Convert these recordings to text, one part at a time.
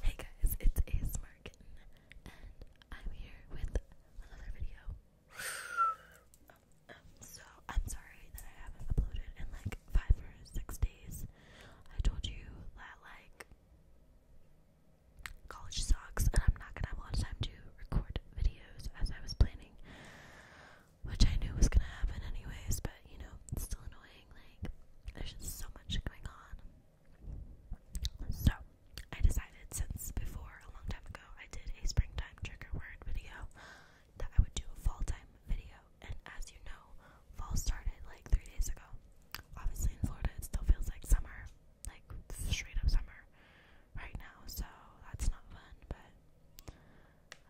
Hey guys, it's ASMR Kitten, and I'm here with another video. Um, so, I'm sorry that I haven't uploaded in like five or six days. I told you that like college sucks, and I'm not gonna have a lot of time to record videos as I was planning, which I knew was gonna happen anyways, but you know, it's still annoying. Like, there's just so much going on. So, I decided since before, a long time ago, I did a springtime trigger word video that I would do a fall time video. And as you know, fall started like three days ago. Obviously, in Florida, it still feels like summer, like straight up summer right now, so that's not fun, but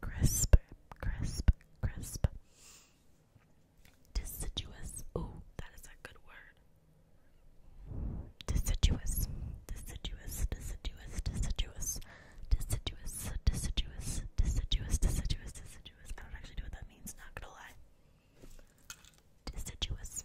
crisp, crisp, crisp. Deciduous. Ooh, that is a good word. Deciduous, deciduous, deciduous, deciduous, deciduous, deciduous, deciduous, deciduous, deciduous. I don't actually know what that means, not gonna lie. Deciduous.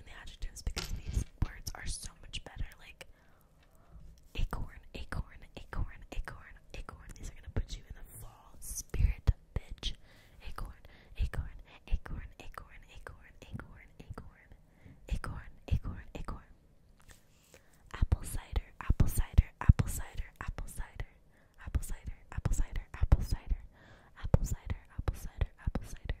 the adjectives because these words are so much better. Like acorn, acorn, acorn, acorn, acorn. These are gonna put you in the fall spirit, bitch. Acorn, acorn, acorn, acorn, acorn, acorn, acorn, acorn, acorn, acorn. Apple apple cider, apple cider, apple cider, apple cider, apple cider, apple cider, apple cider, apple cider, apple cider,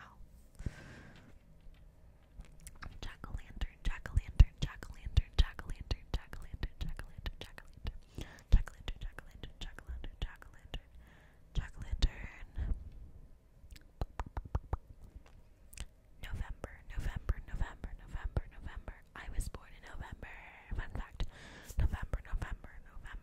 Ow. Jack-o'-lantern, jack-o'-lantern, jack-o'-lantern, jack-o'-lantern, November, November, November, November, November. I was born in November. Fun fact. November, November, November.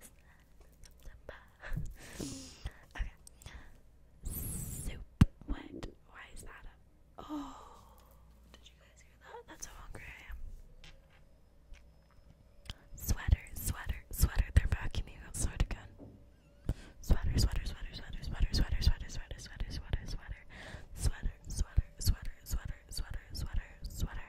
September. okay. Soup wet. Why is that up? Oh, did you guys hear that? That's how hungry I am. Sweater, sweater, sweater. They're back in the outside again. Sweater, sweater, sweater, sweater, sweater, sweater, sweater, sweater, sweater, sweater, sweater, sweater, sweater, sweater, sweater, sweater, sweater, sweater.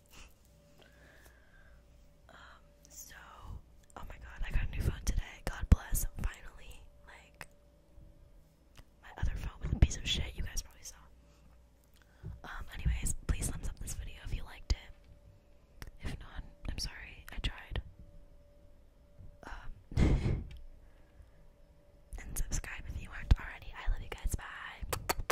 um, so oh my god, I got a new phone today. God bless, finally. Like my other phone was a piece of shit you guys probably saw. Um, anyways, please thumbs up this video if you liked it. If not, I'm sorry, I tried. Um and subscribe if you aren't already. I love you guys. Bye.